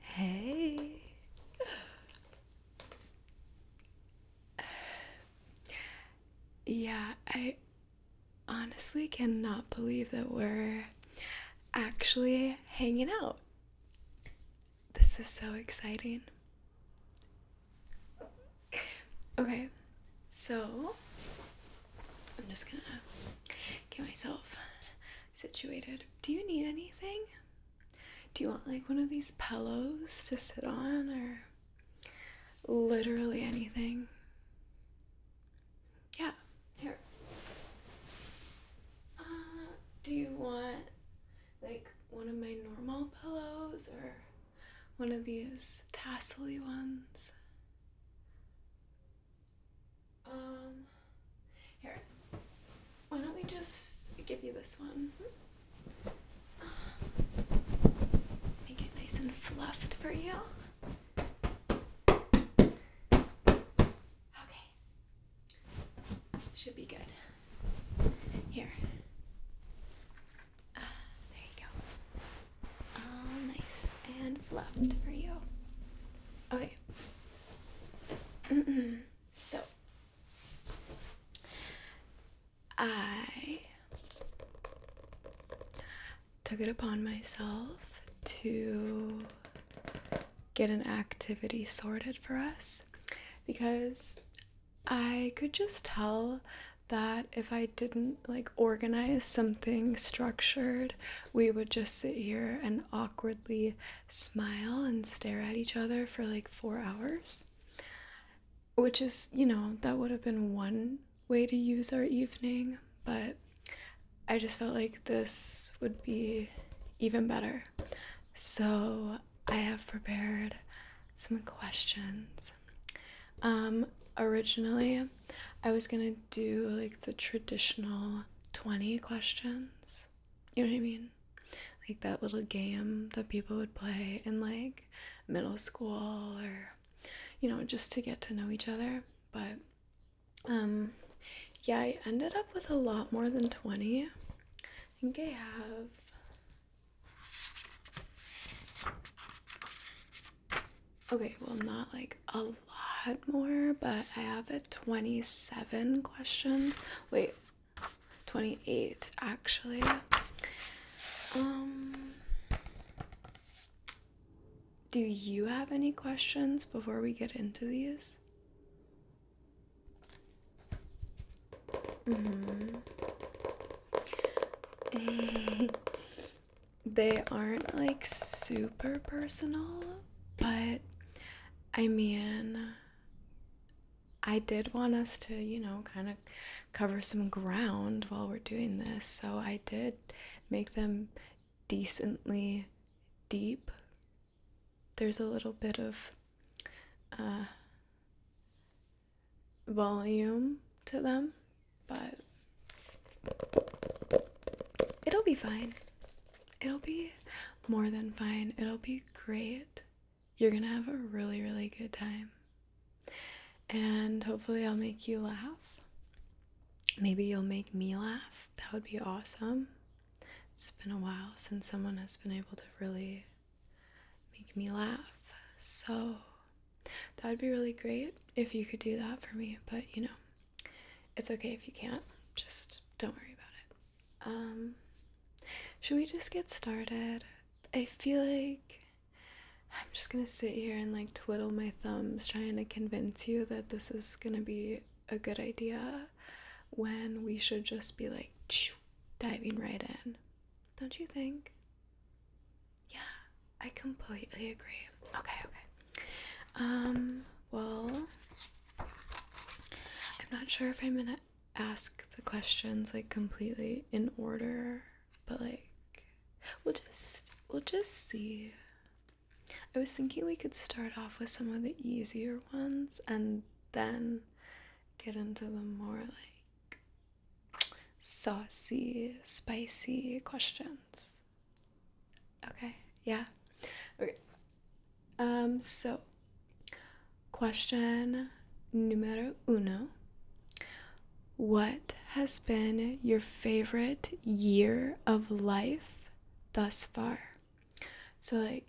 hey. Yeah, I honestly cannot believe that we're actually hanging out. This is so exciting. Okay, so I'm just gonna get myself situated. Do you need anything? Do you want like one of these pillows to sit on or literally anything? Yeah, here. Uh, do you want like one of my normal pillows or one of these tassely ones? Um, here. Why don't we just give you this one? Make it nice and fluffed for you. Okay. Should be good. Here. Ah, there you go. All nice and fluffed for you. Okay. so I took it upon myself to get an activity sorted for us because I could just tell that if I didn't like organize something structured we would just sit here and awkwardly smile and stare at each other for like four hours. Which is, you know, that would have been one way to use our evening, but I just felt like this would be even better. So I have prepared some questions. Um, originally, I was gonna do like the traditional 20 questions. You know what I mean? Like that little game that people would play in like middle school or you know, just to get to know each other. But um yeah, I ended up with a lot more than 20. I think I have Okay, well, not like a lot more, but I have a 27 questions. Wait, 28 actually. Um, do you have any questions before we get into these? Mm-hmm. they aren't like super personal, but I mean, I did want us to, you know, kind of cover some ground while we're doing this, so I did make them decently deep. There's a little bit of uh, volume to them, but It'll be fine. It'll be more than fine. It'll be great. You're going to have a really, really good time. And hopefully, I'll make you laugh. Maybe you'll make me laugh. That would be awesome. It's been a while since someone has been able to really make me laugh. So, that would be really great if you could do that for me. But, you know, it's okay if you can't. Just don't worry about it. Um, should we just get started? I feel like I'm just gonna sit here and like twiddle my thumbs trying to convince you that this is gonna be a good idea when we should just be like diving right in. Don't you think? Yeah, I completely agree. Okay, okay. Um, well, I'm not sure if I'm gonna ask the questions like completely in order, but like we'll just we'll just see. I was thinking we could start off with some of the easier ones and then get into the more like saucy, spicy questions. Okay, yeah. Okay. Um, so question numero uno. What has been your favorite year of life thus far? So, like,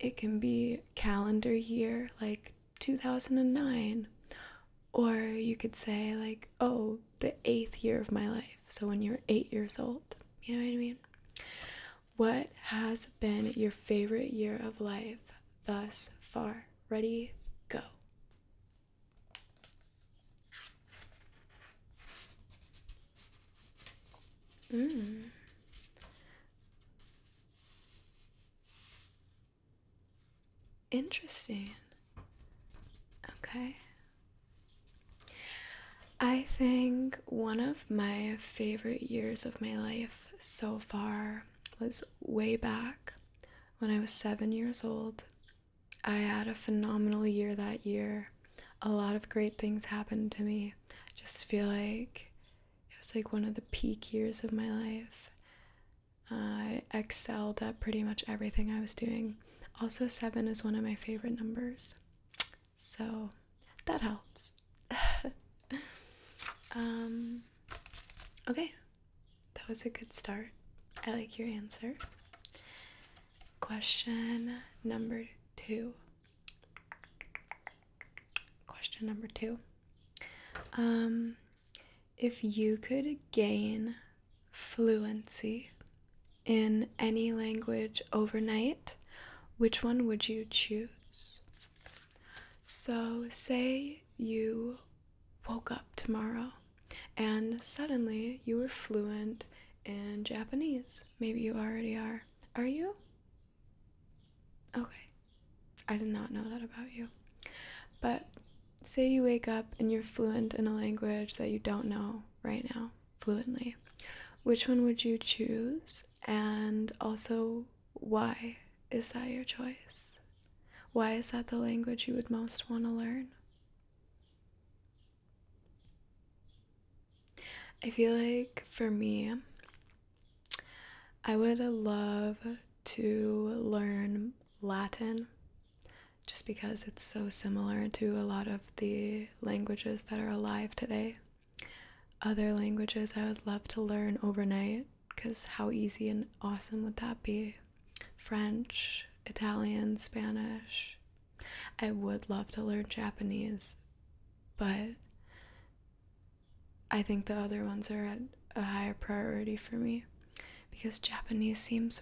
it can be calendar year, like 2009, or you could say, like, oh, the eighth year of my life. So when you're eight years old, you know what I mean? What has been your favorite year of life thus far? Ready, go. Hmm. Interesting. Okay. I think one of my favorite years of my life so far was way back when I was seven years old. I had a phenomenal year that year. A lot of great things happened to me. just feel like it was like one of the peak years of my life. I excelled at pretty much everything I was doing also, seven is one of my favorite numbers, so that helps. Um, okay, that was a good start. I like your answer. Question number two. Question number two. Um, if you could gain fluency in any language overnight, which one would you choose? So, say you woke up tomorrow and suddenly you were fluent in Japanese. Maybe you already are. Are you? Okay. I did not know that about you. But say you wake up and you're fluent in a language that you don't know right now fluently. Which one would you choose? And also, why is that your choice? Why is that the language you would most want to learn? I feel like for me, I would love to learn Latin just because it's so similar to a lot of the languages that are alive today. Other languages I would love to learn overnight because how easy and awesome would that be? French, Italian, Spanish. I would love to learn Japanese, but I think the other ones are at a higher priority for me because Japanese seems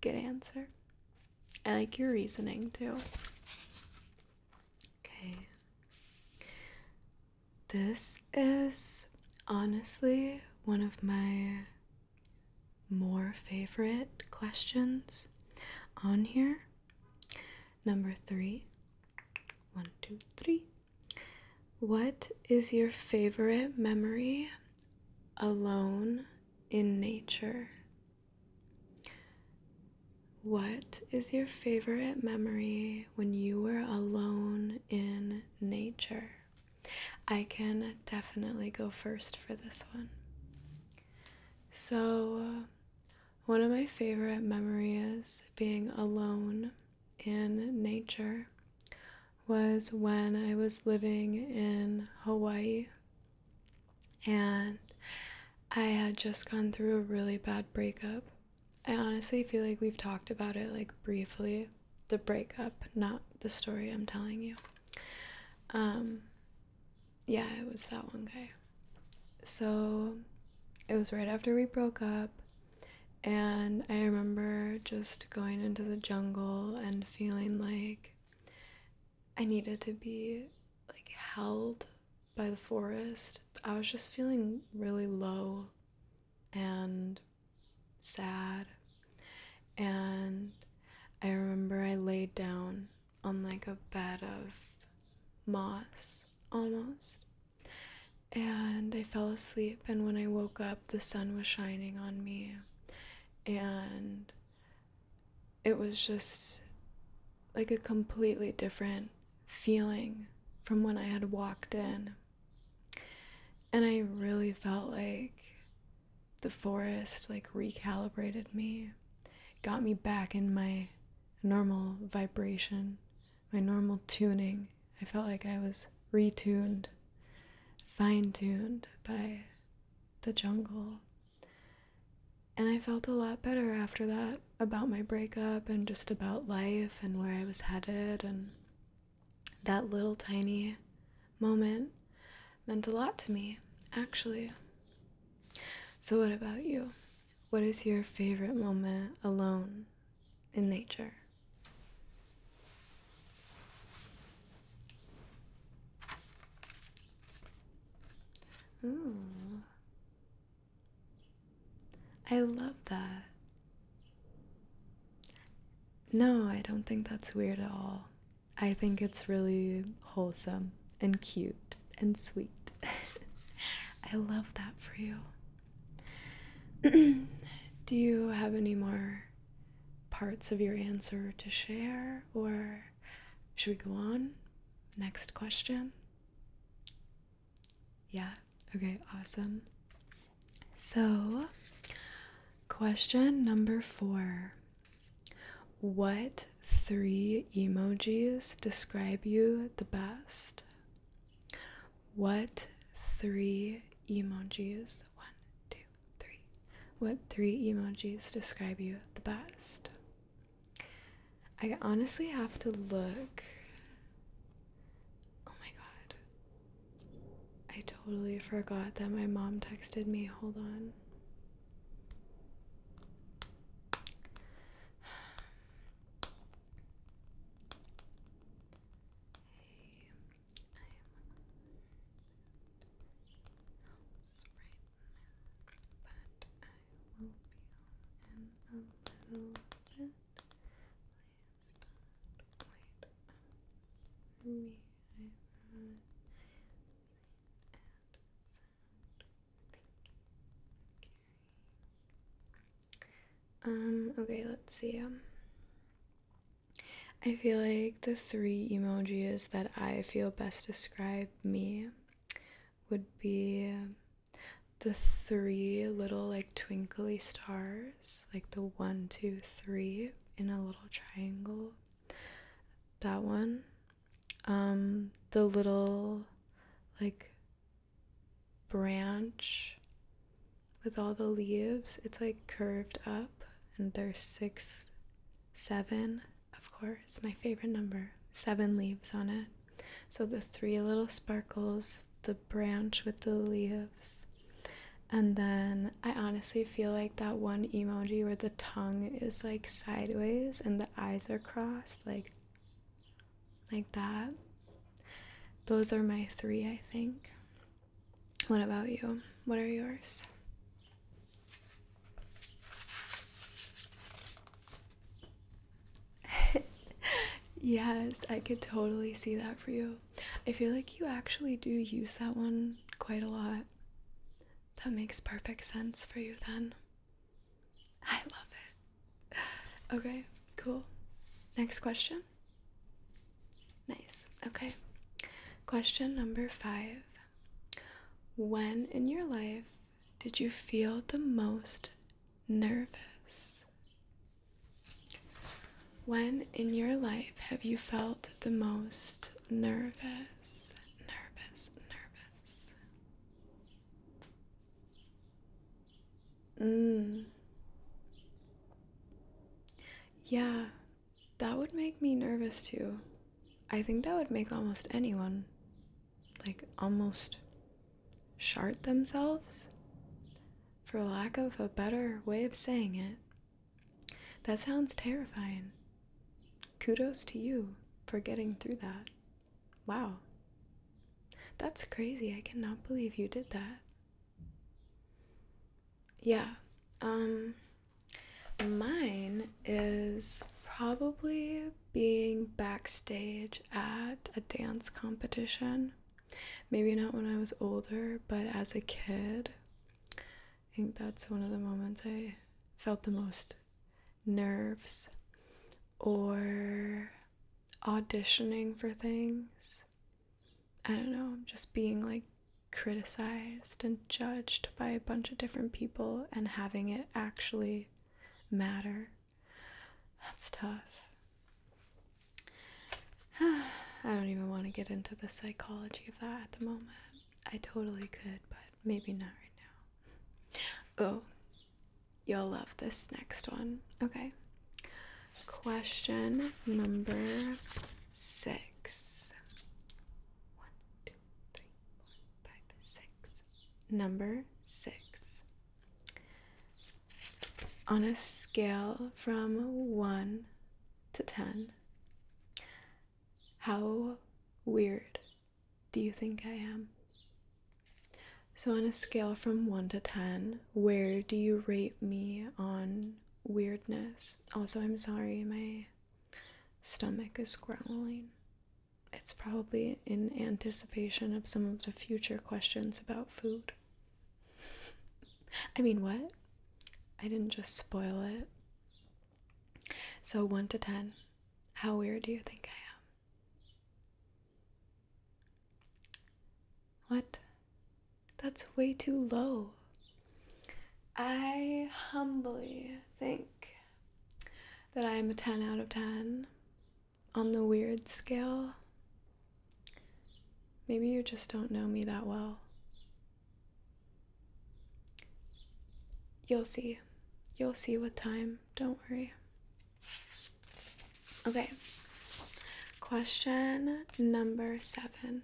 Good answer. I like your reasoning too. Okay. This is honestly one of my more favorite questions on here. Number three, one, two, What is your favorite memory alone in nature. What is your favorite memory when you were alone in nature? I can definitely go first for this one. So, one of my favorite memories being alone in nature was when I was living in Hawaii and I had just gone through a really bad breakup. I honestly feel like we've talked about it like briefly the breakup, not the story I'm telling you. Um, yeah, it was that one guy. So it was right after we broke up, and I remember just going into the jungle and feeling like I needed to be like held by the forest. I was just feeling really low and sad. And I remember I laid down on like a bed of moss almost. And I fell asleep, and when I woke up, the sun was shining on me, and it was just like a completely different feeling from when I had walked in. And I really felt like the forest like recalibrated me, got me back in my normal vibration, my normal tuning. I felt like I was retuned fine tuned by the jungle. And I felt a lot better after that about my breakup and just about life and where I was headed. And that little tiny moment meant a lot to me, actually. So, what about you? What is your favorite moment alone in nature? I love that. No, I don't think that's weird at all. I think it's really wholesome and cute and sweet. I love that for you. Do you have any more parts of your answer to share, or should we go on? Next question? Yeah, okay, awesome. So, question number four What three emojis describe you the best? What three emojis? One, two, Three. What three emojis describe you the best? I honestly have to look. Oh my god. I totally forgot that my mom texted me. Hold on. Hey am at right now, but I will be home in a little bit. Please don't wait for me. I know the ad sound. Thank Um, okay, let's see. Um, I feel like the three emojis that I feel best describe me would be the three little like twinkly stars, like the one, two, three in a little triangle. That one. Um, the little like branch with all the leaves. It's like curved up, and there's six, seven, of course, my favorite number, seven leaves on it. So the three little sparkles, the branch with the leaves. And then I honestly feel like that one emoji where the tongue is like sideways and the eyes are crossed, like like that. Those are my three, I think. What about you? What are yours? yes, I could totally see that for you. I feel like you actually do use that one quite a lot. That makes perfect sense for you then. I love it. Okay, cool. Next question. Nice. Okay. Question number five. When in your life did you feel the most nervous? When in your life have you felt the most nervous? Nervous, nervous. Hmm. Yeah, that would make me nervous too. I think that would make almost anyone like almost shart themselves, for lack of a better way of saying it. That sounds terrifying. Kudos to you for getting through that. Wow. That's crazy. I cannot believe you did that yeah um mine is probably being backstage at a dance competition maybe not when i was older but as a kid i think that's one of the moments i felt the most nerves or auditioning for things I don't know, just being like criticized and judged by a bunch of different people and having it actually matter. That's tough. I don't even want to get into the psychology of that at the moment. I totally could, but maybe not right now. Oh, you'll love this next one. Okay. Question number six six. One, two, Number six. On a scale from one to ten, how weird do you think I am? So, on a scale from one to ten, where do you rate me on weirdness? Also, I'm sorry, my stomach is growling. It's probably in anticipation of some of the future questions about food. I mean, what? I didn't just spoil it. So, 1 to 10, how weird do you think I am? What? That's way too low. I humbly think that I am a 10 out of 10 on the weird scale. Maybe you just don't know me that well. You'll see. You'll see with time. Don't worry. Okay. Question number seven.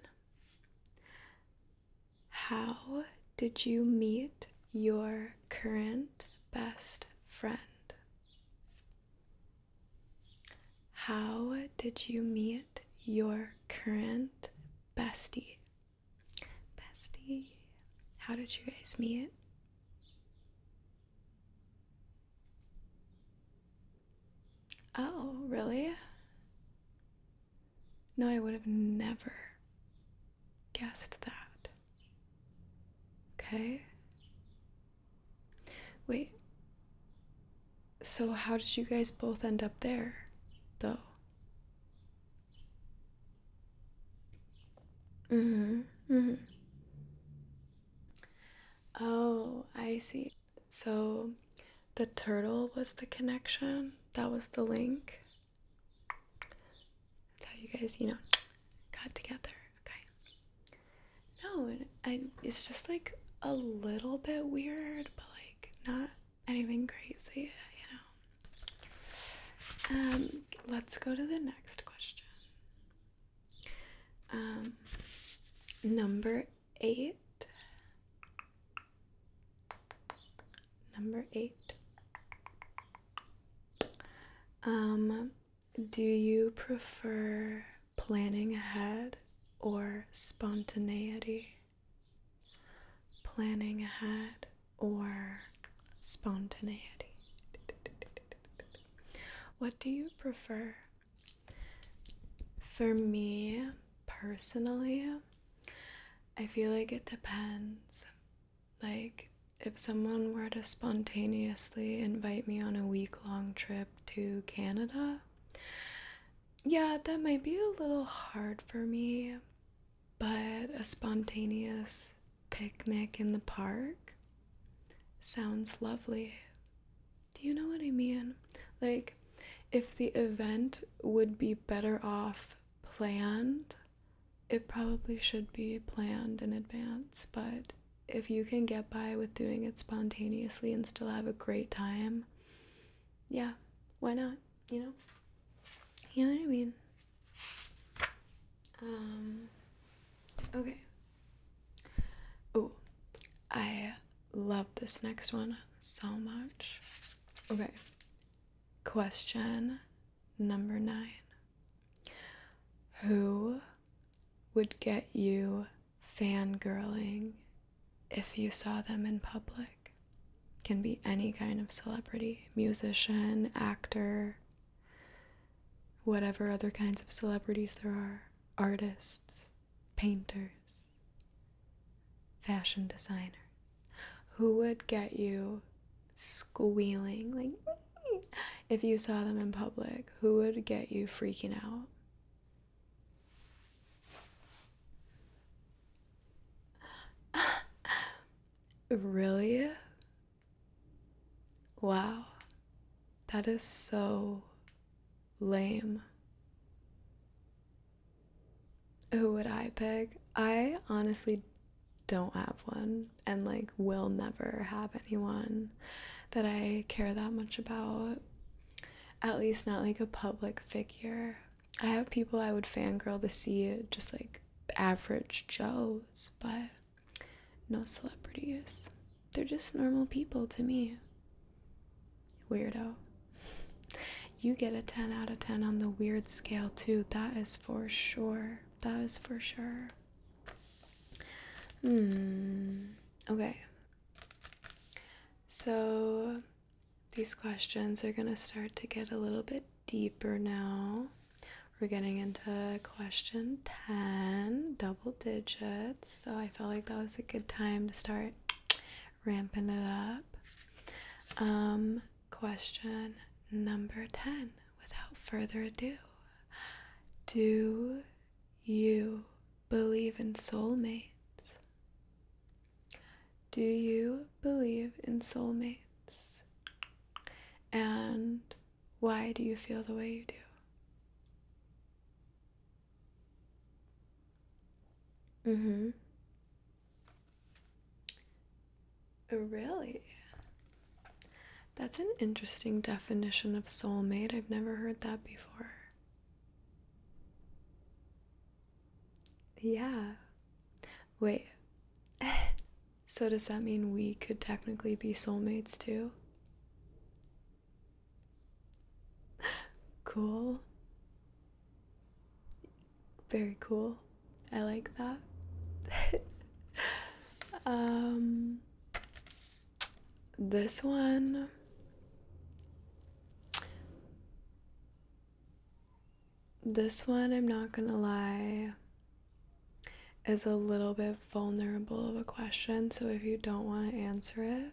How did you meet your current best friend? How did you meet your current bestie? Bestie, how did you guys meet? Oh, really? No, I would have never guessed that. Okay. Wait. So, how did you guys both end up there, though? Mm hmm. Mm hmm. Oh, I see. So the turtle was the connection, that was the link. That's how you guys, you know, got together. Okay. No, I, it's just like a little bit weird, but like not anything crazy, you know. Um, let's go to the next question. Um, number eight. Number eight. Um, do you prefer planning ahead or spontaneity? Planning ahead or spontaneity? What do you prefer? For me personally, I feel like it depends. Like, if someone were to spontaneously invite me on a week long trip to Canada, yeah, that might be a little hard for me, but a spontaneous picnic in the park sounds lovely. Do you know what I mean? Like, if the event would be better off planned, it probably should be planned in advance, but if you can get by with doing it spontaneously and still have a great time, yeah, why not? You know? You know what I mean? Um, okay. Oh, I love this next one so much. Okay, question number nine Who would get you fangirling if you saw them in public? Can be any kind of celebrity, musician, actor, whatever other kinds of celebrities there are, artists painters, fashion designers who would get you squealing like if you saw them in public, who would get you freaking out? really? Wow. That is so lame. Who oh, would I pick? I honestly don't have one and like will never have anyone that I care that much about. At least not like a public figure. I have people I would fangirl to see just like average Joes, but no celebrities. They're just normal people to me. Weirdo. You get a 10 out of 10 on the weird scale, too. That is for sure. That is for sure. Hmm. Okay. So these questions are going to start to get a little bit deeper now. We're getting into question 10, double digits. So I felt like that was a good time to start ramping it up. Um, question number 10. Without further ado, do you believe in soulmates? Do you believe in soulmates? And why do you feel the way you do? Mm-hmm. Oh, really? That's an interesting definition of soulmate. I've never heard that before. Yeah. Wait. so, does that mean we could technically be soulmates too? Cool. Very cool. I like that. Um, this one. This one, I'm not gonna lie, is a little bit vulnerable of a question. So if you don't want to answer it,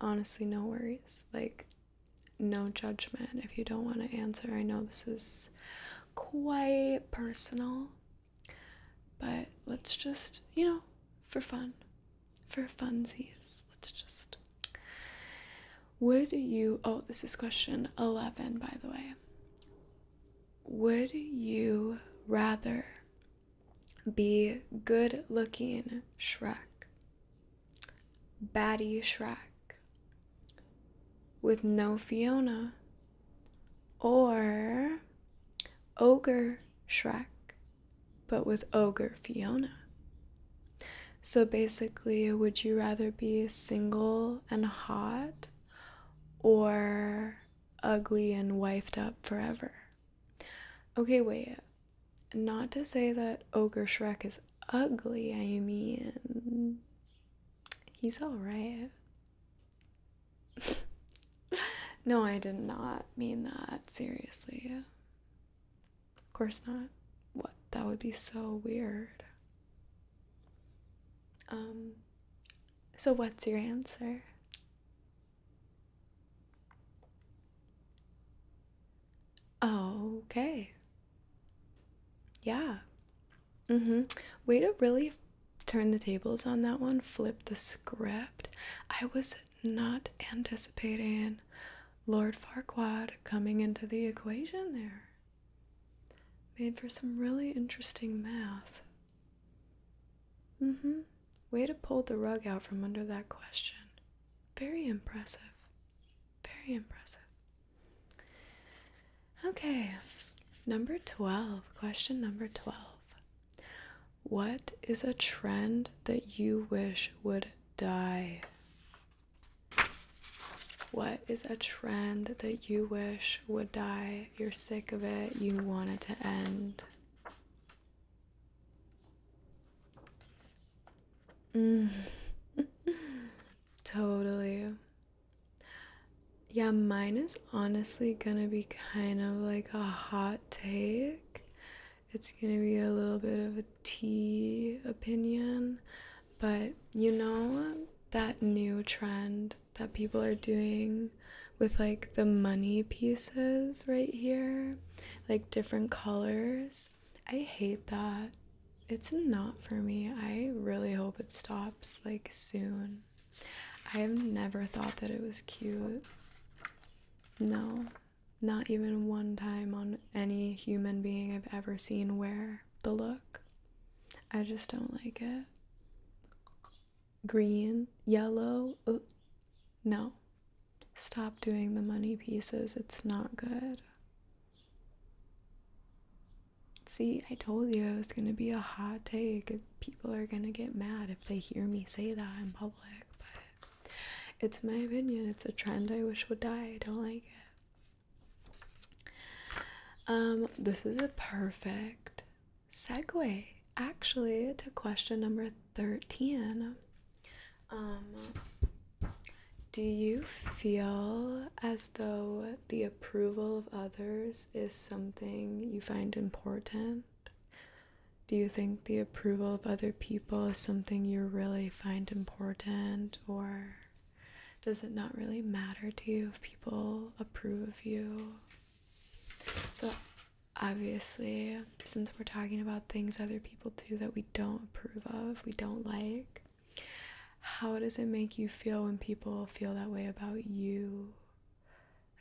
honestly, no worries. Like, no judgment if you don't want to answer. I know this is quite personal, but let's just, you know, for fun, for funsies, let's just. Would you, oh, this is question 11, by the way. Would you rather be good looking Shrek Batty Shrek with no Fiona or Ogre Shrek but with Ogre Fiona. So basically, would you rather be single and hot or ugly and wifed up forever? Okay, wait not to say that Ogre Shrek is ugly, I mean, he's alright. no, I did not mean that, seriously. Of course not. What? That would be so weird. Um, so what's your answer? Oh, okay. Yeah. Mm-hmm. Way to really turn the tables on that one, flip the script. I was not anticipating Lord Farquaad coming into the equation there. Made for some really interesting math. Mm-hmm. Way to pull the rug out from under that question. Very impressive. Very impressive. Okay, number 12. Question number 12. What is a trend that you wish would die? What is a trend that you wish would die? You're sick of it, you want it to end. totally. Yeah, mine is honestly gonna be kind of like a hot take. It's gonna be a little bit of a tea opinion, but you know that new trend that people are doing with like the money pieces right here, like different colors. I hate that. It's not for me. I really hope it stops like soon. I have never thought that it was cute. No, not even one time on any human being I've ever seen wear the look. I just don't like it. Green, yellow, no. Stop doing the money pieces. It's not good. See, I told you it was going to be a hot take. People are going to get mad if they hear me say that in public, but it's my opinion. It's a trend I wish would die. I don't like it. Um, this is a perfect segue actually to question number 13. Um, do you feel as though the approval of others is something you find important? Do you think the approval of other people is something you really find important, or does it not really matter to you if people approve of you? So, obviously, since we're talking about things other people do that we don't approve of, we don't like, how does it make you feel when people feel that way about you?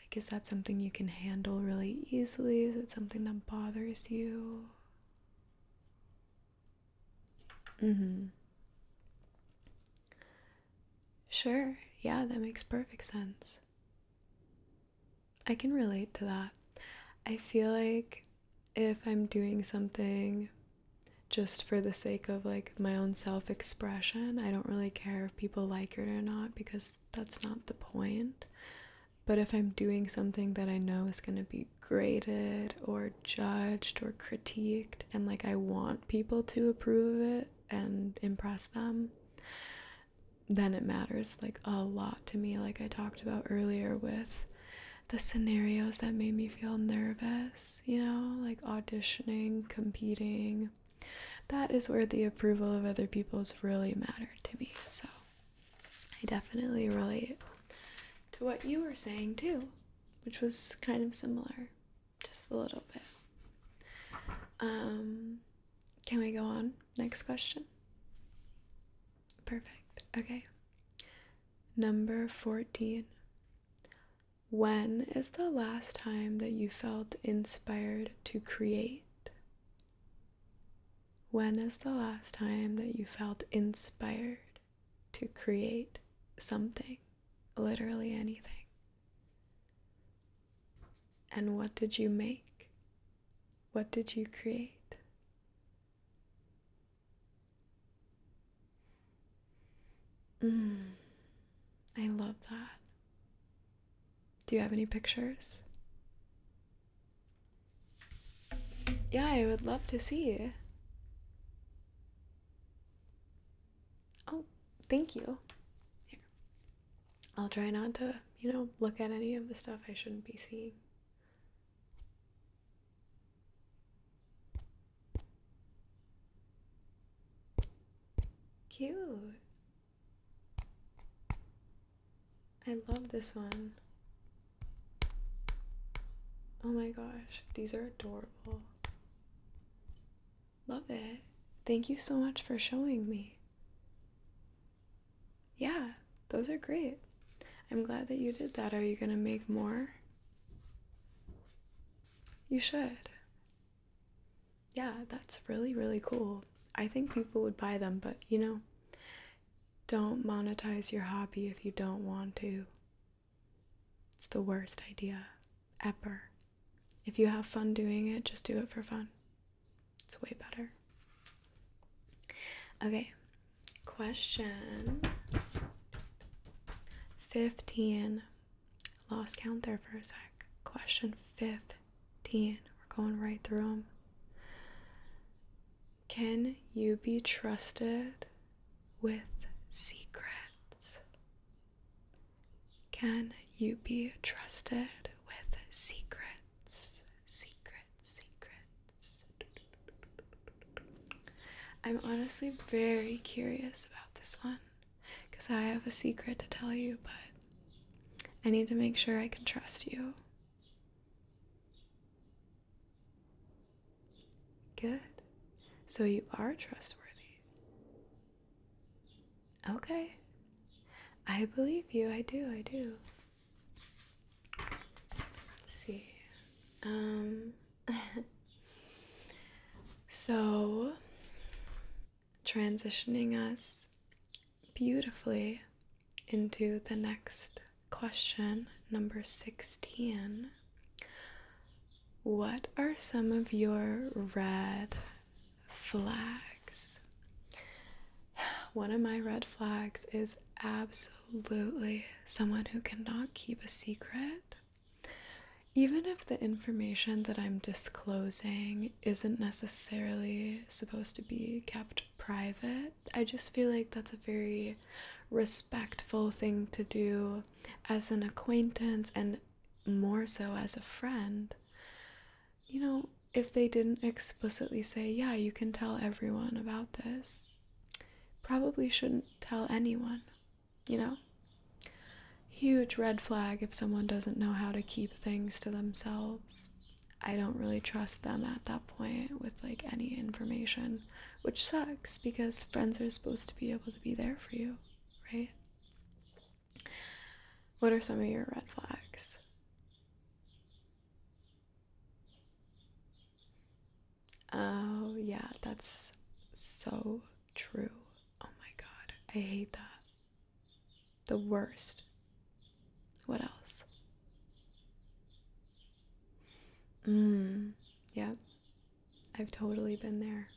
Like, is that something you can handle really easily? Is it something that bothers you? Mm hmm. Sure, yeah, that makes perfect sense. I can relate to that. I feel like if I'm doing something just for the sake of like my own self expression, I don't really care if people like it or not because that's not the point. But if I'm doing something that I know is going to be graded or judged or critiqued, and like I want people to approve of it and impress them, then it matters like a lot to me, like I talked about earlier with the scenarios that made me feel nervous, you know, like auditioning, competing. That is where the approval of other people's really mattered to me. So I definitely relate to what you were saying too, which was kind of similar, just a little bit. Um, can we go on? Next question. Perfect. Okay. Number 14. When is the last time that you felt inspired to create? When is the last time that you felt inspired to create something? Literally anything. And what did you make? What did you create? Mm, I love that. Do you have any pictures? Yeah, I would love to see. Oh, thank you. Here. I'll try not to, you know, look at any of the stuff I shouldn't be seeing. Cute. I love this one. Oh my gosh, these are adorable. Love it. Thank you so much for showing me yeah, those are great. I'm glad that you did that. Are you going to make more? You should. Yeah, that's really, really cool. I think people would buy them, but you know, don't monetize your hobby if you don't want to. It's the worst idea ever. If you have fun doing it, just do it for fun. It's way better. Okay, question 15. Lost count there for a sec. Question 15. We're going right through them. Can you be trusted with secrets? Can you be trusted with secrets? Secrets secrets. I'm honestly very curious about this one because I have a secret to tell you, but I need to make sure I can trust you. Good. So you are trustworthy. Okay. I believe you. I do. I do. Let's see. Um, so transitioning us beautifully into the next question, number 16. What are some of your red flags? One of my red flags is absolutely someone who cannot keep a secret. Even if the information that I'm disclosing isn't necessarily supposed to be kept private, I just feel like that's a very respectful thing to do as an acquaintance and more so as a friend. You know, if they didn't explicitly say, Yeah, you can tell everyone about this, probably shouldn't tell anyone, you know? Huge red flag if someone doesn't know how to keep things to themselves. I don't really trust them at that point with like any information, which sucks because friends are supposed to be able to be there for you, right? What are some of your red flags? Oh, yeah, that's so true. Oh my god, I hate that. The worst. What else? Mmm, Yeah, I've totally been there.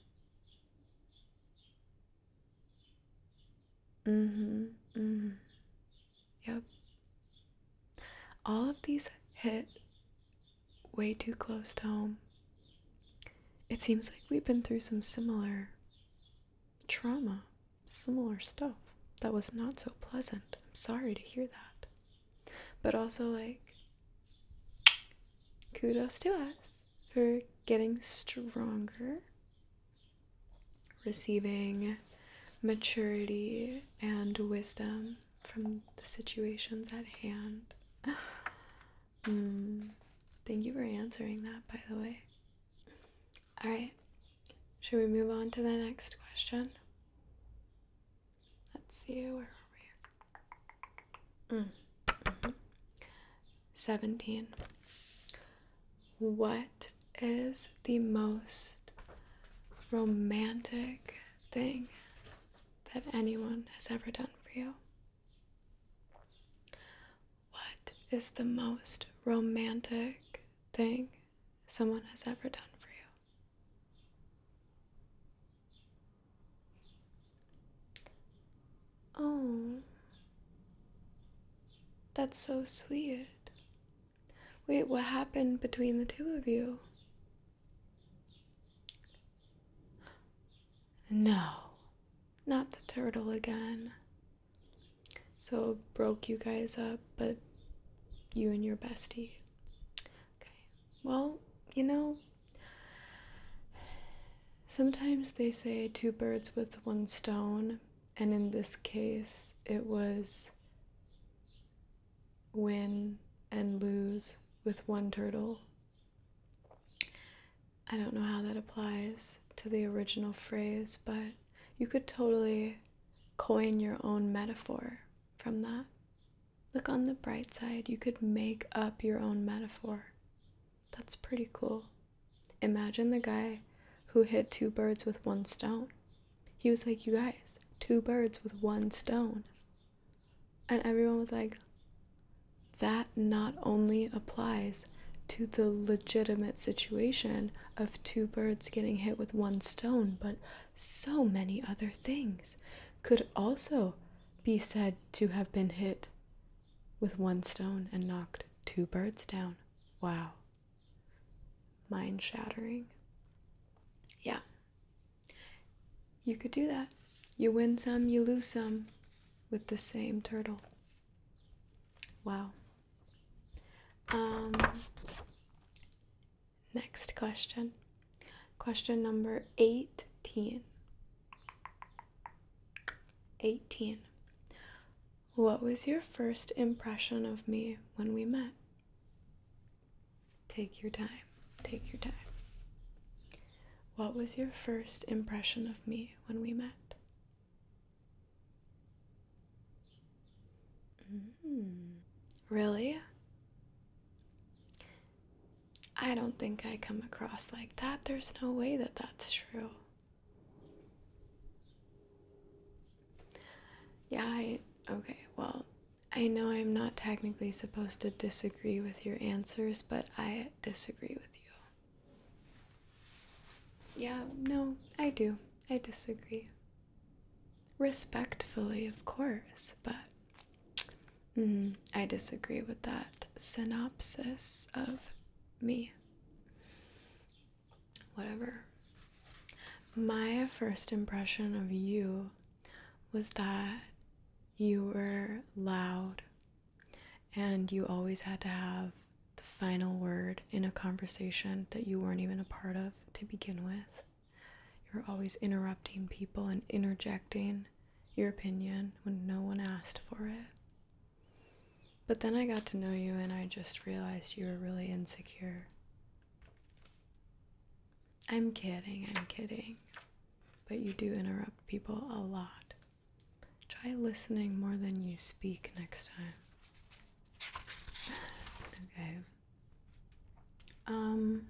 Mm hmm, mm hmm. Yep. All of these hit way too close to home. It seems like we've been through some similar trauma, similar stuff that was not so pleasant. I'm sorry to hear that. But also, like, kudos to us for getting stronger, receiving maturity and wisdom from the situations at hand. Hmm. thank you for answering that, by the way. All right, should we move on to the next question? Let's see, where are we? Mm. 17. What is the most romantic thing that anyone has ever done for you? What is the most romantic thing someone has ever done for you? Oh, that's so sweet. Wait, what happened between the two of you? No, not the turtle again. So broke you guys up, but you and your bestie. Okay, well, you know, sometimes they say two birds with one stone, and in this case, it was win and lose with one turtle. I don't know how that applies to the original phrase, but you could totally coin your own metaphor from that. Look on the bright side, you could make up your own metaphor. That's pretty cool. Imagine the guy who hit two birds with one stone he was like, You guys, two birds with one stone. And everyone was like, That not only applies to the legitimate situation of two birds getting hit with one stone, but so many other things could also be said to have been hit with one stone and knocked two birds down. Wow mind shattering. Yeah. You could do that. You win some, you lose some with the same turtle. Wow. Um, next question. Question number 18. 18. What was your first impression of me when we met? Take your time. Take your time. What was your first impression of me when we met? Mm. really? I don't think I come across like that. There's no way that that's true. Yeah, Okay, well, I know I'm not technically supposed to disagree with your answers, but I disagree with you. Yeah, no, I do. I disagree. Respectfully, of course, but mm, I disagree with that synopsis of me. Whatever. My first impression of you was that you were loud and you always had to have the final word in a conversation that you weren't even a part of to begin with. you were always interrupting people and interjecting your opinion when no one asked for it. But then I got to know you and I just realized you were really insecure. I'm kidding, I'm kidding. But you do interrupt people a lot. Try listening more than you speak next time. Okay. Um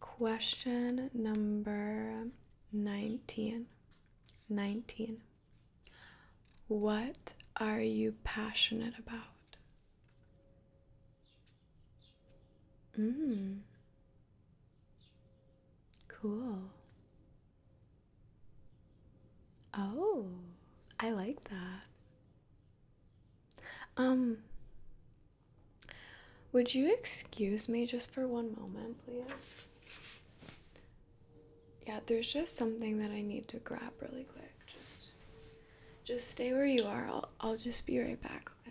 Question number 19. 19. What are you passionate about? Mm. Cool. Oh, I like that. Um, would you excuse me just for one moment, please? yeah, there's just something that I need to grab really quick. Just just stay where you are. I'll I'll just be right back, okay?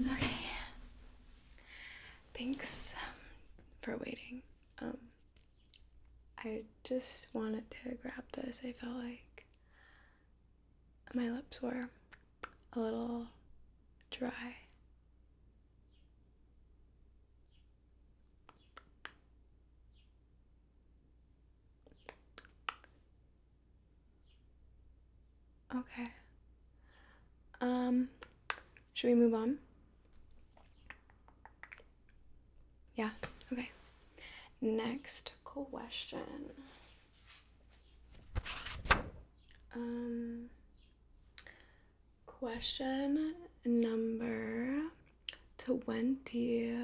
Okay. Thanks um, for waiting. Um, I just wanted to grab this. I felt like my lips were a little dry. Okay. Um, should we move on? Yeah, okay. Next question. Um, question number 20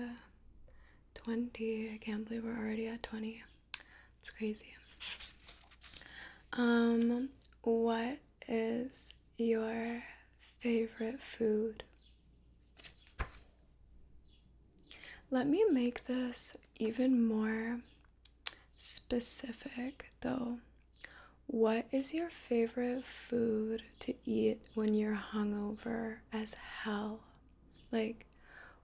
20 i can't believe we're already at 20 it's crazy um what is your favorite food let me make this even more specific though what is your favorite food to eat when you're hungover as hell. Like,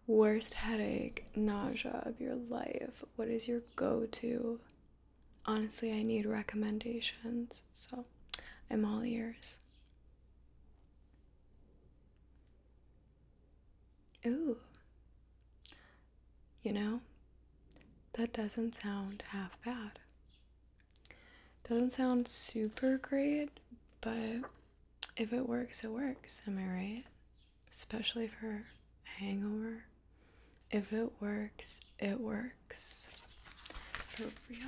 worst headache, nausea of your life. What is your go to? Honestly, I need recommendations, so I'm all ears. Ooh. You know, that doesn't sound half bad. Doesn't sound super great, but if it works, it works. Am I right? Especially for hangover. If it works, it works. For real.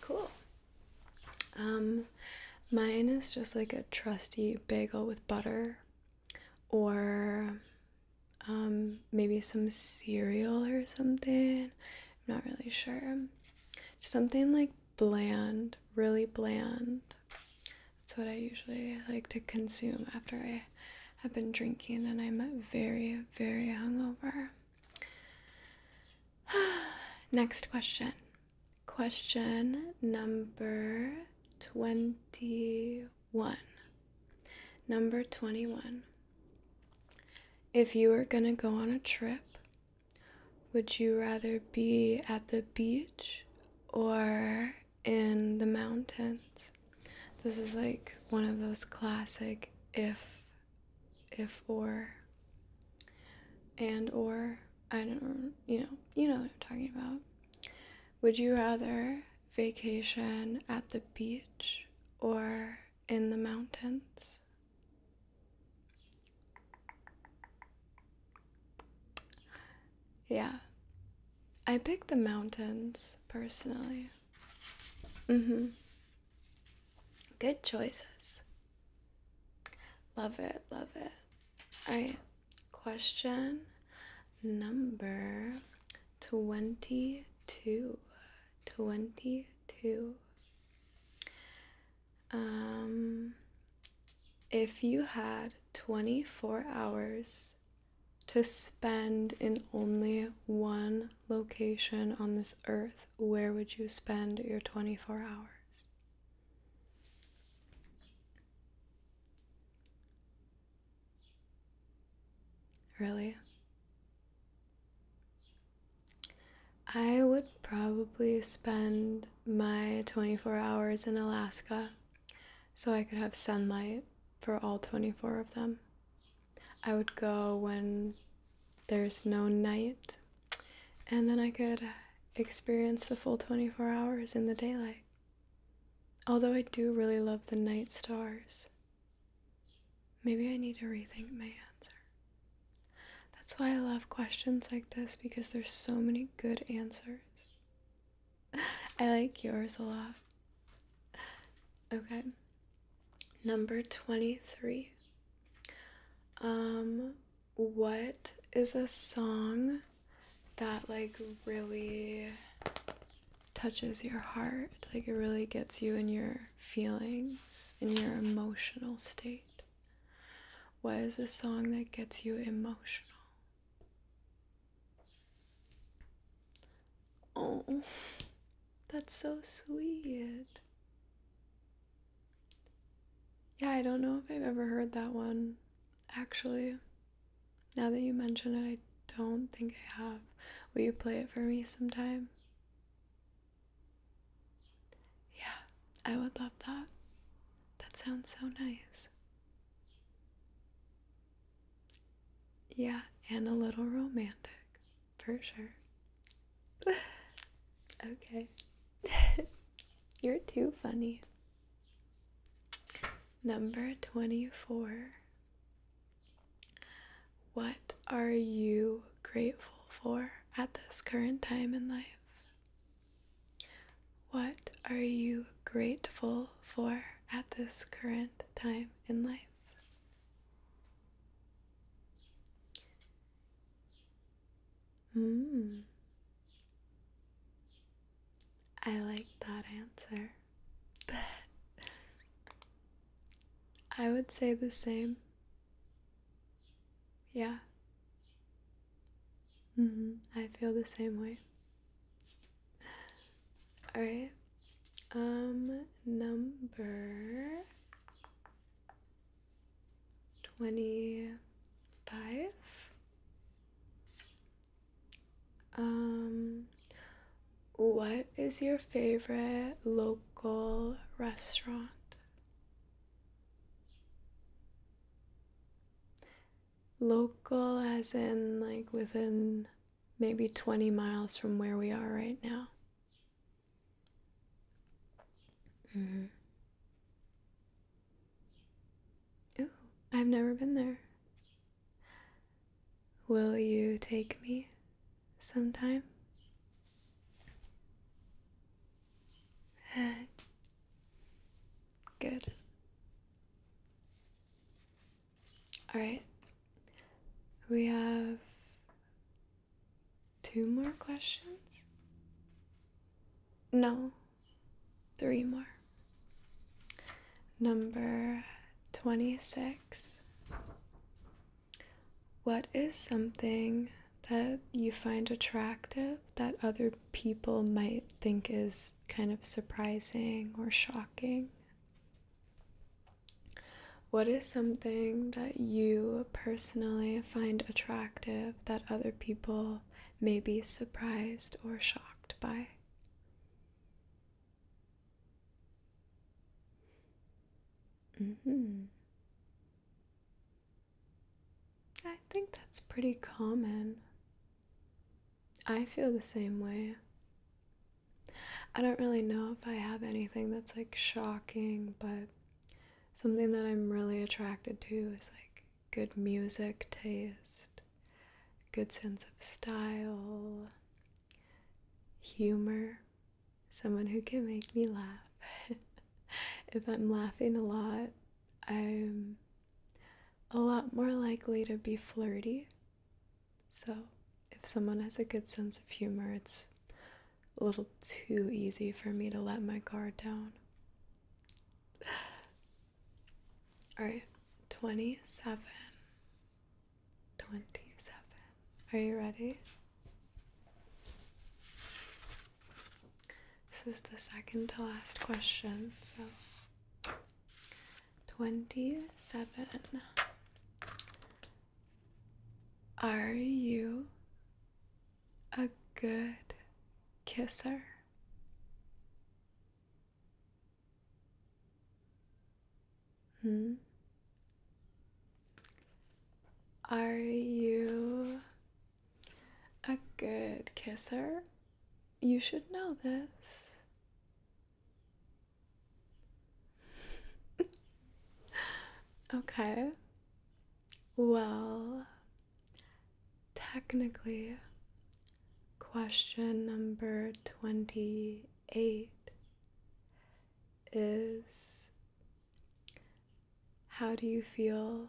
Cool. Um, mine is just like a trusty bagel with butter or um, maybe some cereal or something not really sure. something like bland, really bland. That's what I usually like to consume after I have been drinking and I'm very, very hungover. Next question. Question number 21. Number 21. If you were going to go on a trip, would you rather be at the beach or in the mountains? This is like one of those classic if if or and or I don't you know, you know what I'm talking about. Would you rather vacation at the beach or in the mountains. Yeah. I pick the mountains personally. Mm-hmm. Good choices. Love it, love it. Alright, question number 22. 22 too. Um, if you had 24 hours to spend in only one location on this earth, where would you spend your 24 hours? Really? I would probably spend my 24 hours in Alaska so I could have sunlight for all 24 of them. I would go when there's no night, and then I could experience the full 24 hours in the daylight. Although I do really love the night stars. Maybe I need to rethink my answer. That's why I love questions like this because there's so many good answers. I like yours a lot. Okay. Number 23. Um what is a song that like really touches your heart? Like it really gets you in your feelings in your emotional state? What is a song that gets you emotional? Oh, that's so sweet. Yeah, I don't know if I've ever heard that one. Actually, now that you mention it, I don't think I have. Will you play it for me sometime? Yeah, I would love that. That sounds so nice. Yeah, and a little romantic, for sure. okay. You're too funny. Number 24. What are you grateful for at this current time in life? What are you grateful for at this current time in life? Mm. I like that answer. I would say the same. Yeah. Mm-hmm. I feel the same way. All right. Um, number 25. Um, what is your favorite local restaurant? Local, as in like within maybe 20 miles from where we are right now. mm I've never been there. Will you take me? sometime. Eh, good. Alright, we have two more questions. No, three more. Number 26. What is something that you find attractive that other people might think is kind of surprising or shocking? What is something that you personally find attractive that other people may be surprised or shocked by? Mm-hmm. I think that's pretty common. I feel the same way. I don't really know if I have anything that's like shocking, but something that I'm really attracted to is like good music taste, good sense of style, humor someone who can make me laugh. if I'm laughing a lot, I'm a lot more likely to be flirty. So, if someone has a good sense of humor, it's a little too easy for me to let my guard down. All right, 27. 27. Are you ready? This is the second to last question, so 27. Are you a good kisser? Hmm? Are you a good kisser? You should know this. okay. Well, technically, question number 28 is how do you feel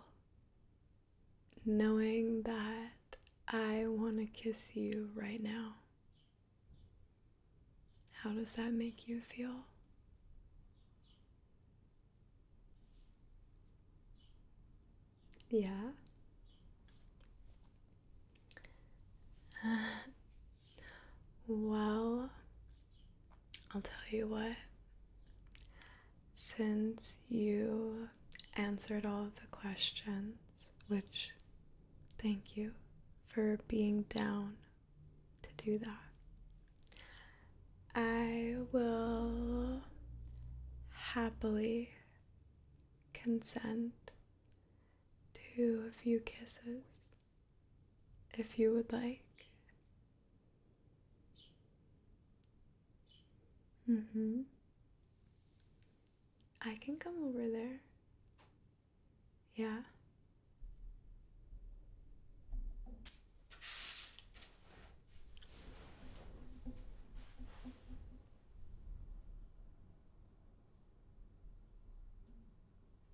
knowing that I want to kiss you right now? How does that make you feel? Yeah. well, I'll tell you what, since you answered all of the questions, which thank you for being down to do that, I will happily consent to a few kisses if you would like. Mm hmm. I can come over there. Yeah.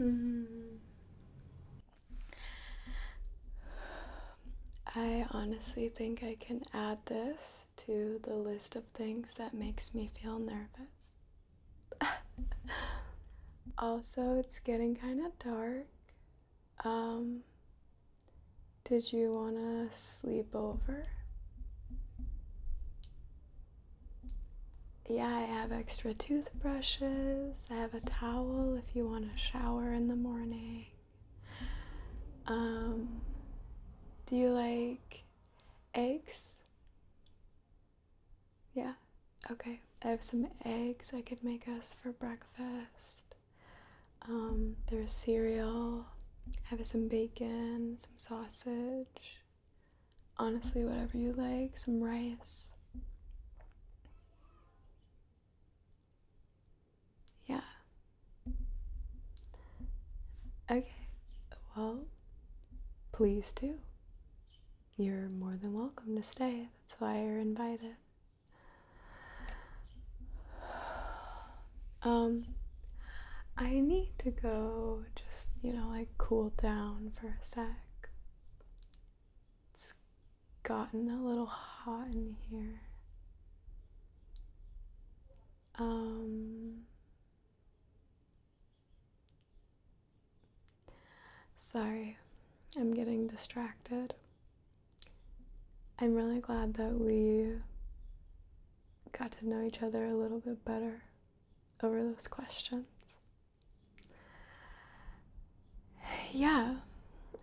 mm. I honestly think I can add this to the list of things that makes me feel nervous. also, it's getting kind of dark. Um, did you want to sleep over? Yeah, I have extra toothbrushes. I have a towel if you want to shower in the morning. Um, do you like eggs? Yeah, okay. I have some eggs I could make us for breakfast. Um, there's cereal. I have some bacon, some sausage honestly, whatever you like, some rice. Yeah. Okay, well, please do. You're more than welcome to stay, that's why you're invited. Um, I need to go just, you know, like cool down for a sec. It's gotten a little hot in here. Um Sorry, I'm getting distracted. I'm really glad that we got to know each other a little bit better over those questions. Yeah,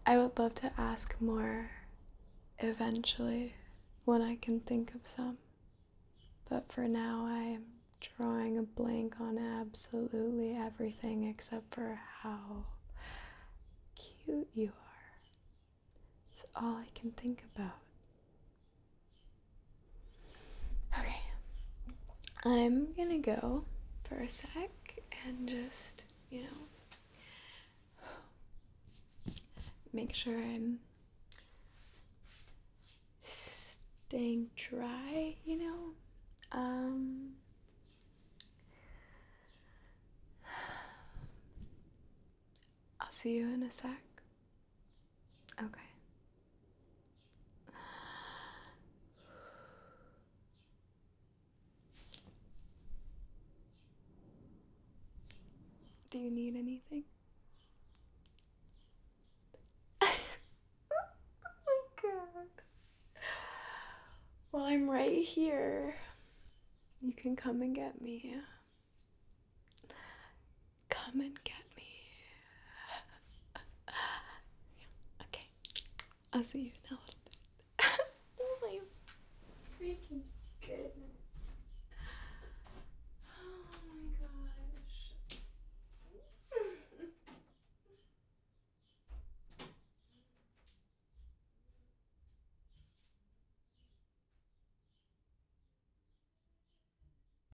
I would love to ask more eventually when I can think of some. But for now, I am drawing a blank on absolutely everything except for how cute you are. It's all I can think about. Okay, I'm gonna go for a sec and just, you know, make sure I'm staying dry, you know? Um, I'll see you in a sec. Okay. Do you need anything? oh god. Well, I'm right here. You can come and get me. Come and get me. okay. I'll see you in oh my freaking goodness. Oh my gosh.